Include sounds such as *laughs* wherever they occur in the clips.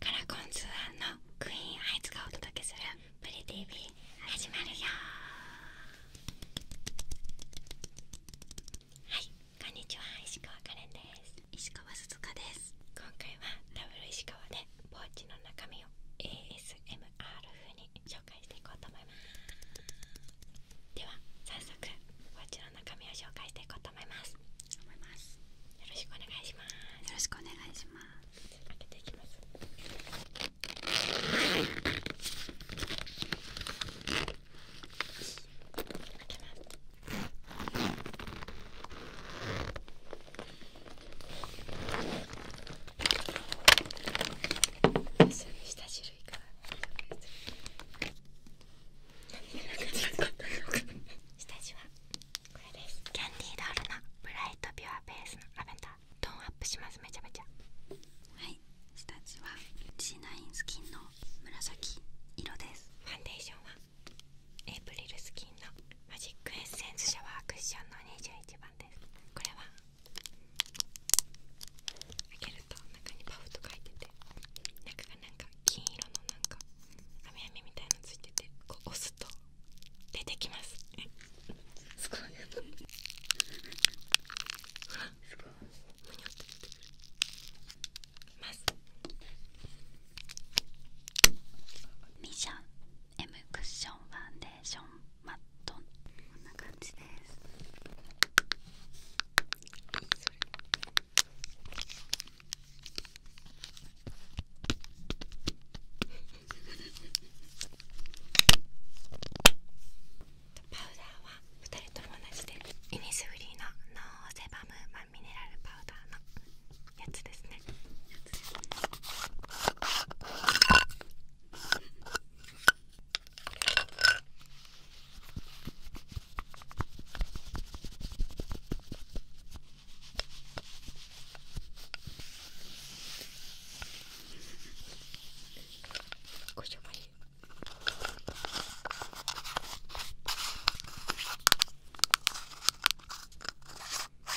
カラコンズのクイーンハイツがお届けする「プリ TV」始まるよはいこんにちは石川カレンです石川鈴香です今回はダブル石川でポーチの中身を ASMR 風に紹介していこうと思いますでは早速ポーチの中身を紹介していこう思います。思います。よろしくお願いします。よろしくお願いします。開けていきます。開けます。下種類か下地はこれですキャンディードールのブライトピュアベースのラベンダートーンアップしますめちゃめちゃはい下地は C9 スキンの紫色ですファンデーションはエイプリルスキンのマジックエッセンスシャワークッションの21番ですこれは開けると中にパフと書いててなんかなんか金色のなんかあみあみみたいのついててこう押すと出てきますすごいすごいむにょって出てくクッションファンデーションマットこんな感じですパウダーは2人とも同じでイニスフリーのノーセバムマンミネラルパウダーのやつですねやつですね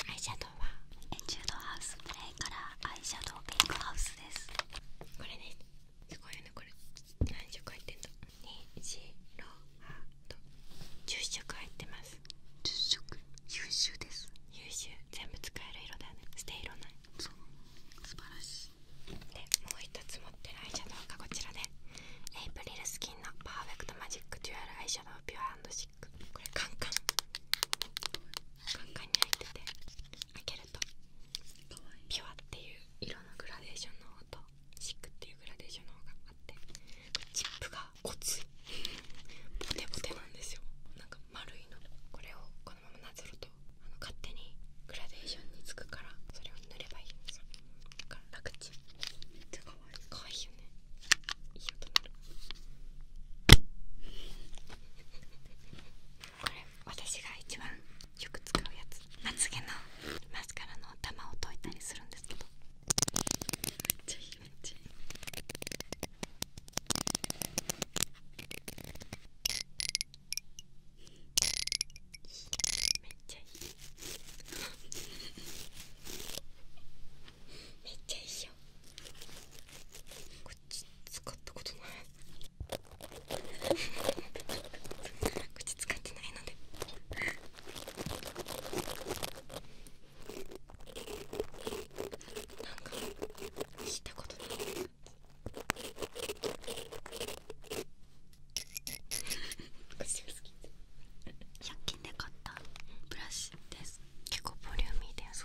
アイシャドウはエチュードハウスプレイからアイシャドウピイクハウスですこれですすごいねこれ何色入ってんだにじろハ10色入ってます10色優秀です優秀全部使える色だよね捨て色ない素晴らしいでもう1つ持ってるアイシャドウがこちらでエイプリルスキンのパーフェクトマジックデュアルアイシャドウピュアシックこれカンカンカンカンに入ってて開けピュアっていう色のグラデーションの方とシックっていうグラデーションの方があってチップがコツいテボテなんですよなんか丸いのこれをこのままなぞるとあの勝手にグラデーションにつくからそれを塗ればいいんでだから楽ちんめっちゃかわいいかわいいよねいい音なるこれ私が一番よく使うやつまつげのマスカラの頭を溶いたりするんですけどめっちゃいいめっちゃいいめっちゃいいよ使ったことないこ使ってないのでなんか聞いことない *laughs* 私均で買ったブラシです結構ボリューミーです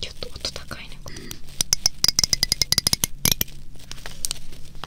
ちょっと音高いね。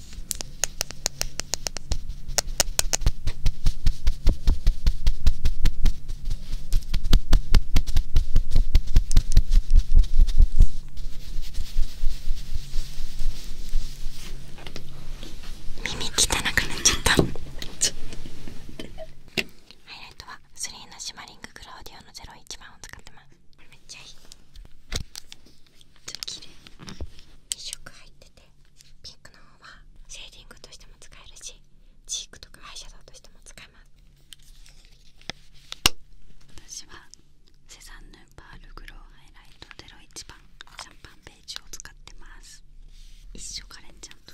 耳汚くなっちゃったハイライトはスリーナシマリングクローディオの01番を使ってますめっちゃいいちょっと綺麗2色入っててピンクの方はセーリングとしても使えるしチークとかアイシャドウとしても使えます私はセザンヌパールグロウハイライト01番シャンパンベージュを使ってます一緒カレンちゃんと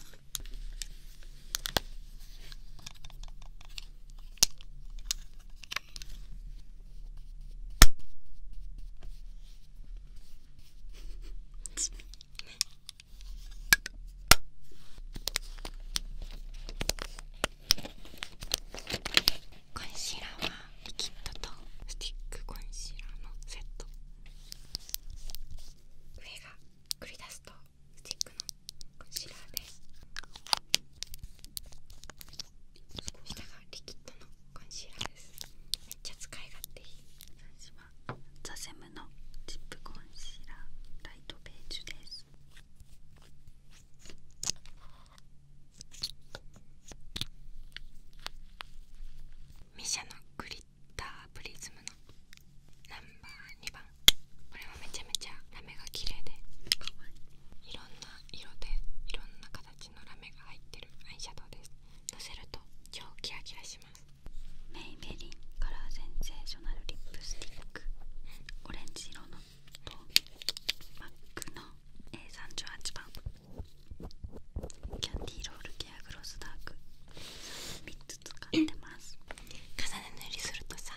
コンシーラーはリキッドとスティックコンシーラーのセット上が繰り出すとスティックのコンシーラーです。下がリキッドのコンシーラーですめっちゃ使い勝手いい私はザセムのチップコンシーラーライトベージュですミシャのグリッタープリズムのナンバー2番これもめちゃめちゃラメが綺麗でかわいいいろんな色でいろんな形のラメが入ってるアイシャドウですのせると超キラキラしますメイベリンカラーセンセーショナルリップスティックオレンジ色のとマックの A38 番キャンディーロールケアグロスダーク3つ使ってます重ね塗りするとさ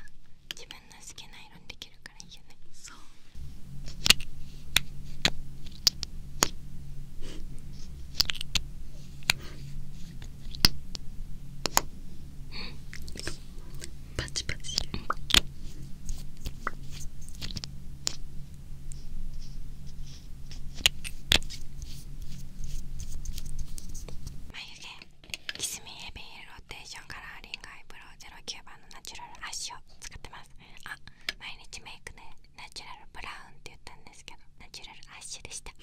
の好きな色にできるからいいよね眉毛キスミヘビーローテーションカラーリングアイブロウ09番のナチュラルアッシュを使ってますあ毎日メイクでナチュラルブラウンって言ったんですけどナチュラルアッシュでした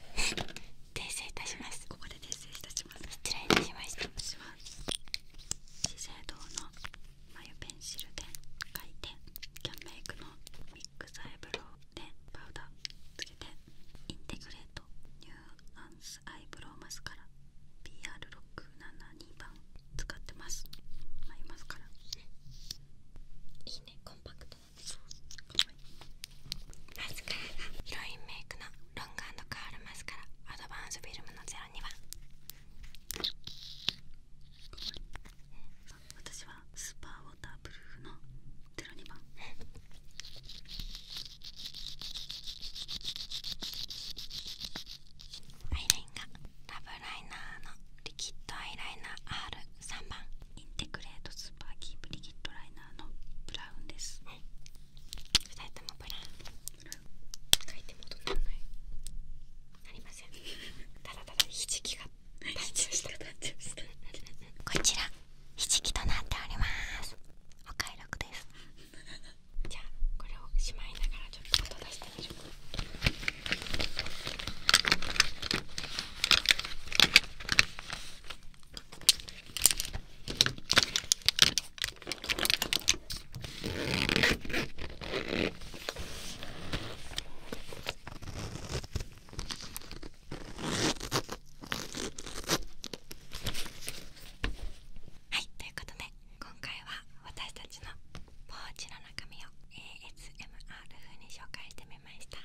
*laughs* 訂正いたしますここで訂正いたします失礼いたしました私は資生堂の眉ペンシルで描いてキャンメイクのミックスアイブローでパウダーつけてインテグレートアイブロウマスカラ PR672 番使ってます眉マスカラいいねコンパクトなんですかわいいマスカラがヒロインメイクのロングカールマスカラアドバンスフィルムの02番私はスーパーウォーターブルーフの02番アイラインがラブライナーのリキッドアイライナー R3 番インテグレートスーパーキープリキッドライナーのブラウンです、はい、2もブラウン書いてもどんなのないなりません *laughs* ただただひじきが立ちましたこちらひじとなっておりますお買い得です *laughs* じゃあこれをしまいながらちょっと音出してみるはいということで今回は私たちのポーチの中身を ASMR 風に紹介してみました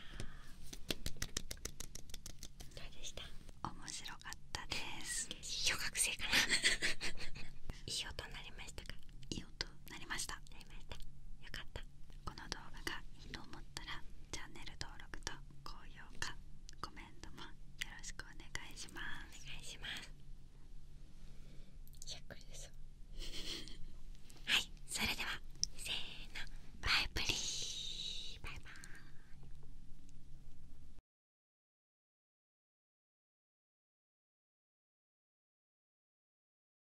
どうでした面白かったです *laughs* 小学生かな *laughs* いい音になりましたかいい音なりましたざいましたよかったこの動画がいいと思ったらチャンネル登録と高評価コメントもよろしくお願いしますお願いしますゆっくりです *laughs* はいそれではせーのバイブリーバイバーイ